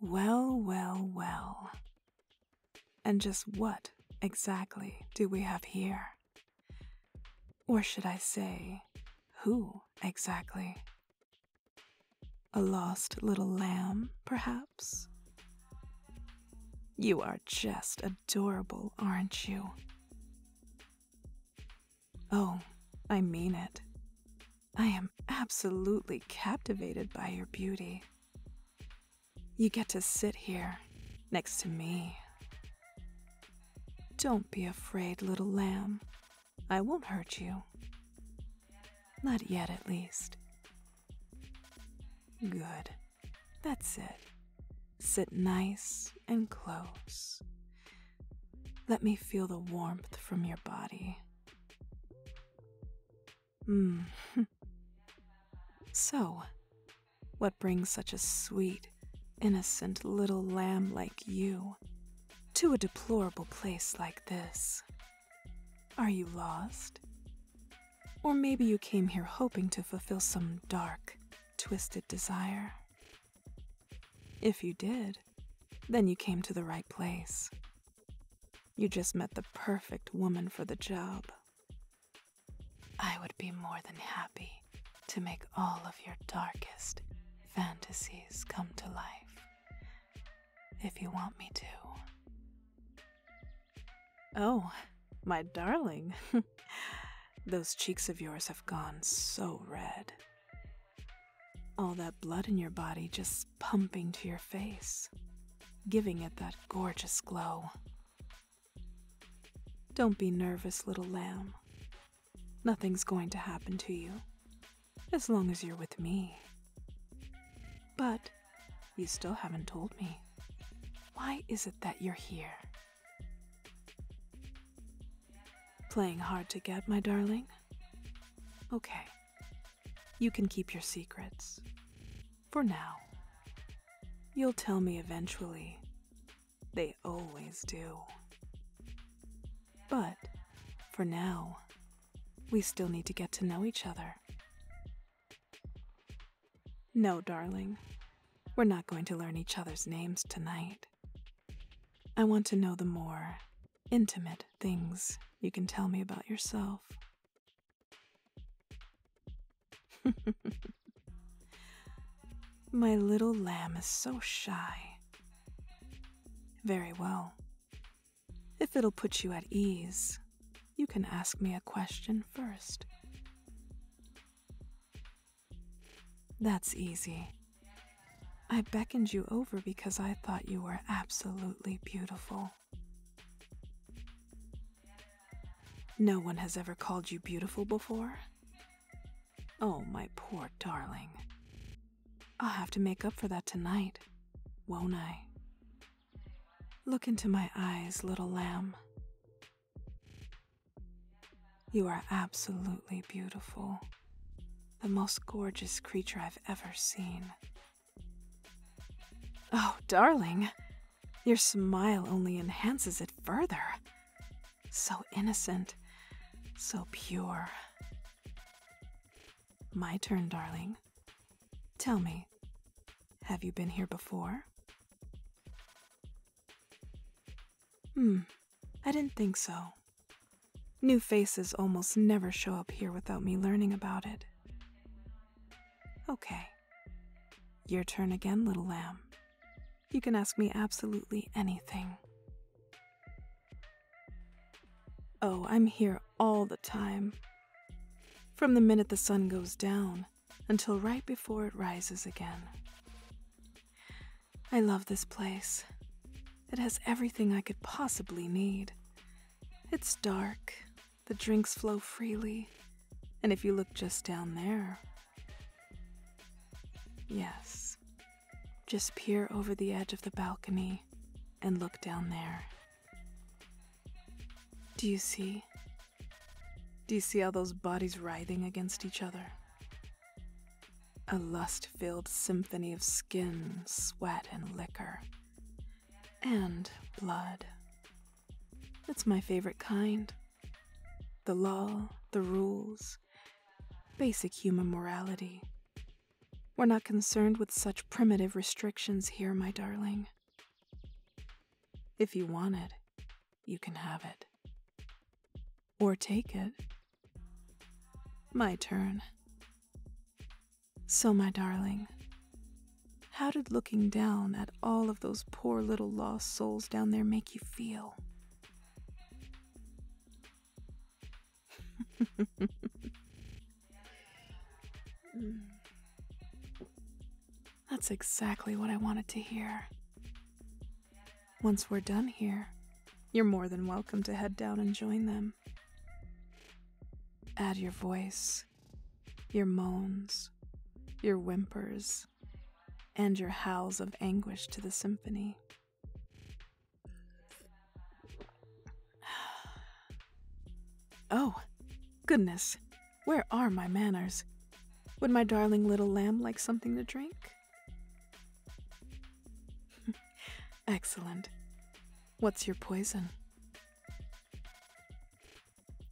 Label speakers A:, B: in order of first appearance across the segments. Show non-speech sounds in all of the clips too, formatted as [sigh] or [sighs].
A: Well, well, well. And just what exactly do we have here? Or should I say, who exactly? A lost little lamb, perhaps? You are just adorable, aren't you? Oh, I mean it. I am absolutely captivated by your beauty. You get to sit here next to me. Don't be afraid, little lamb. I won't hurt you. Not yet, at least. Good. That's it. Sit nice and close. Let me feel the warmth from your body. Mm. [laughs] so, what brings such a sweet, innocent little lamb like you to a deplorable place like this? Are you lost? Or maybe you came here hoping to fulfill some dark, twisted desire. If you did, then you came to the right place. You just met the perfect woman for the job. I would be more than happy to make all of your darkest fantasies come to life if you want me to. Oh, my darling, [laughs] those cheeks of yours have gone so red. All that blood in your body just pumping to your face, giving it that gorgeous glow. Don't be nervous, little lamb. Nothing's going to happen to you, as long as you're with me. But you still haven't told me. Why is it that you're here? Playing hard to get, my darling? Okay. You can keep your secrets. For now. You'll tell me eventually. They always do. But, for now, we still need to get to know each other. No, darling. We're not going to learn each other's names tonight. I want to know the more intimate things you can tell me about yourself. [laughs] My little lamb is so shy. Very well. If it'll put you at ease, you can ask me a question first. That's easy. I beckoned you over because I thought you were absolutely beautiful. No one has ever called you beautiful before? Oh, my poor darling. I'll have to make up for that tonight, won't I? Look into my eyes, little lamb. You are absolutely beautiful, the most gorgeous creature I've ever seen. Oh, darling, your smile only enhances it further. So innocent, so pure. My turn, darling. Tell me, have you been here before? Hmm, I didn't think so. New faces almost never show up here without me learning about it. Okay. Your turn again, little lamb. You can ask me absolutely anything. Oh, I'm here all the time. From the minute the sun goes down until right before it rises again. I love this place. It has everything I could possibly need. It's dark, the drinks flow freely, and if you look just down there, yes, just peer over the edge of the balcony and look down there. Do you see? Do you see all those bodies writhing against each other? A lust filled symphony of skin, sweat, and liquor. And blood. It's my favorite kind. The law, the rules, basic human morality. We're not concerned with such primitive restrictions here, my darling. If you wanted, you can have it. Or take it. My turn. So, my darling, how did looking down at all of those poor little lost souls down there make you feel? [laughs] [laughs] That's exactly what I wanted to hear. Once we're done here, you're more than welcome to head down and join them. Add your voice, your moans, your whimpers, and your howls of anguish to the symphony. [sighs] Oh, goodness, where are my manners? Would my darling little lamb like something to drink? [laughs] Excellent. What's your poison?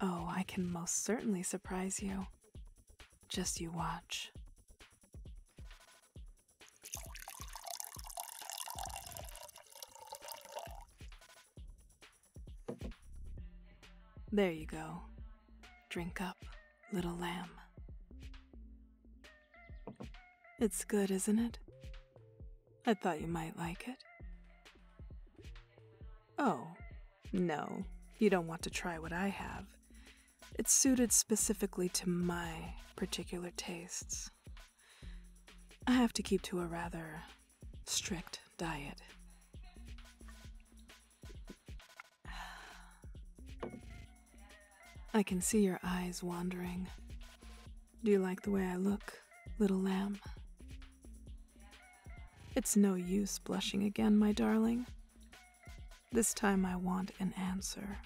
A: Oh, I can most certainly surprise you. Just you watch. There you go. Drink up, little lamb. It's good, isn't it? I thought you might like it. Oh, no, you don't want to try what I have. It's suited specifically to my particular tastes. I have to keep to a rather strict diet. I can see your eyes wandering. Do you like the way I look, little lamb? It's no use blushing again, my darling. This time I want an answer.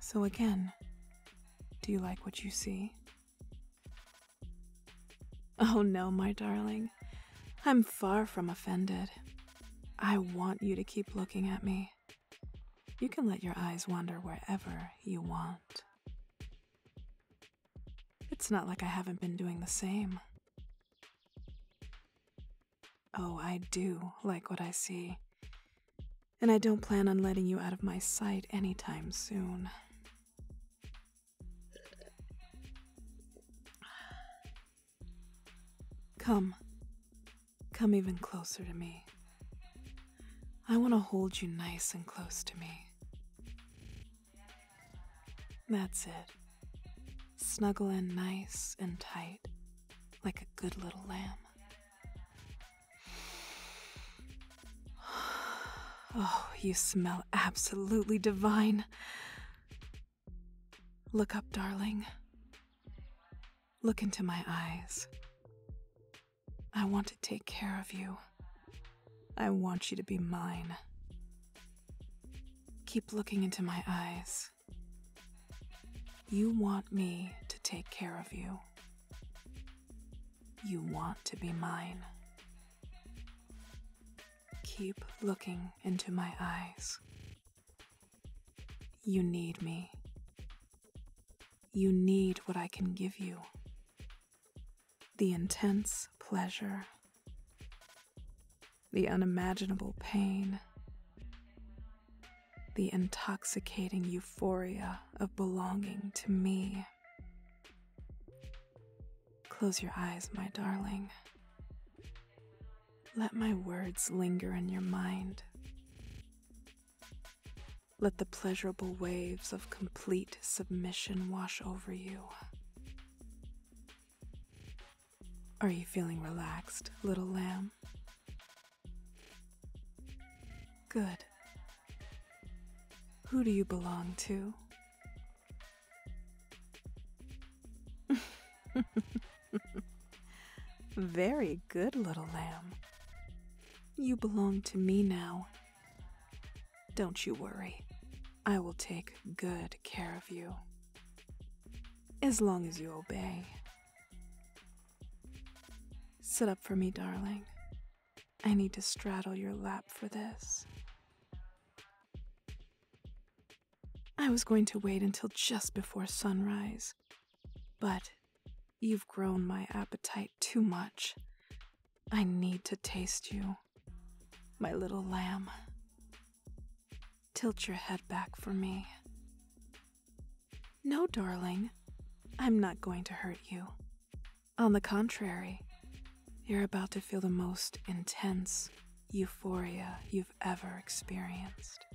A: So again, do you like what you see? Oh no, my darling. I'm far from offended. I want you to keep looking at me. You can let your eyes wander wherever you want. It's not like I haven't been doing the same. Oh, I do like what I see. And I don't plan on letting you out of my sight anytime soon. Come. Come even closer to me. I want to hold you nice and close to me. That's it. Snuggle in nice and tight, like a good little lamb. [sighs] Oh, you smell absolutely divine. Look up, darling. Look into my eyes. I want to take care of you. I want you to be mine. Keep looking into my eyes. You want me to take care of you. You want to be mine. Keep looking into my eyes. You need me. You need what I can give you the intense pleasure, the unimaginable pain, the intoxicating euphoria of belonging to me. Close your eyes, my darling. Let my words linger in your mind. Let the pleasurable waves of complete submission wash over you. Are you feeling relaxed, little lamb? Good. Who do you belong to? [laughs] Very good, little lamb. You belong to me now. Don't you worry. I will take good care of you. As long as you obey. Sit up for me, darling. I need to straddle your lap for this. I was going to wait until just before sunrise, but you've grown my appetite too much. I need to taste you, my little lamb. Tilt your head back for me. No, darling, I'm not going to hurt you. On the contrary, you're about to feel the most intense euphoria you've ever experienced.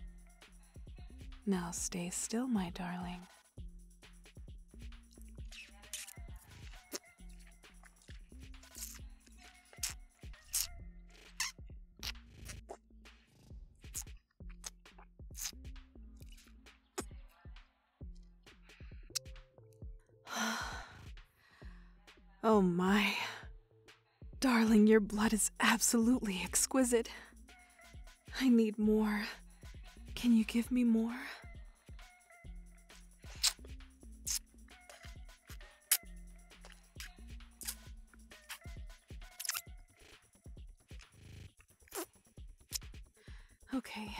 A: Now stay still, my darling. [sighs] oh my. Darling, your blood is absolutely exquisite. I need more. Can you give me more? Okay.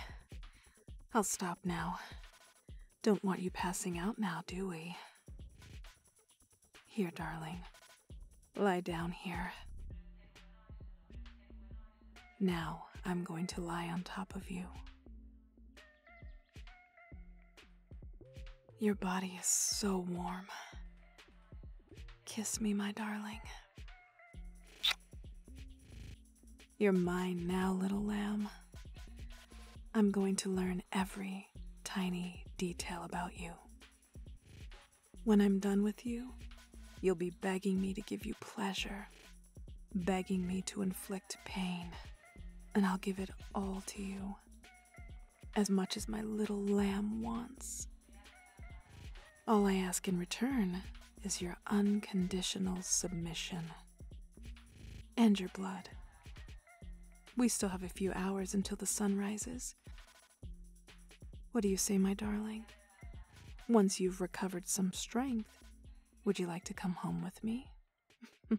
A: I'll stop now. Don't want you passing out now, do we? Here, darling. Lie down here. Now I'm going to lie on top of you. Your body is so warm. Kiss me, my darling. You're mine now, little lamb. I'm going to learn every tiny detail about you. When I'm done with you, you'll be begging me to give you pleasure, begging me to inflict pain, and I'll give it all to you, as much as my little lamb wants. All I ask in return is your unconditional submission and your blood. We still have a few hours until the sun rises. What do you say, my darling? Once you've recovered some strength, would you like to come home with me? [laughs]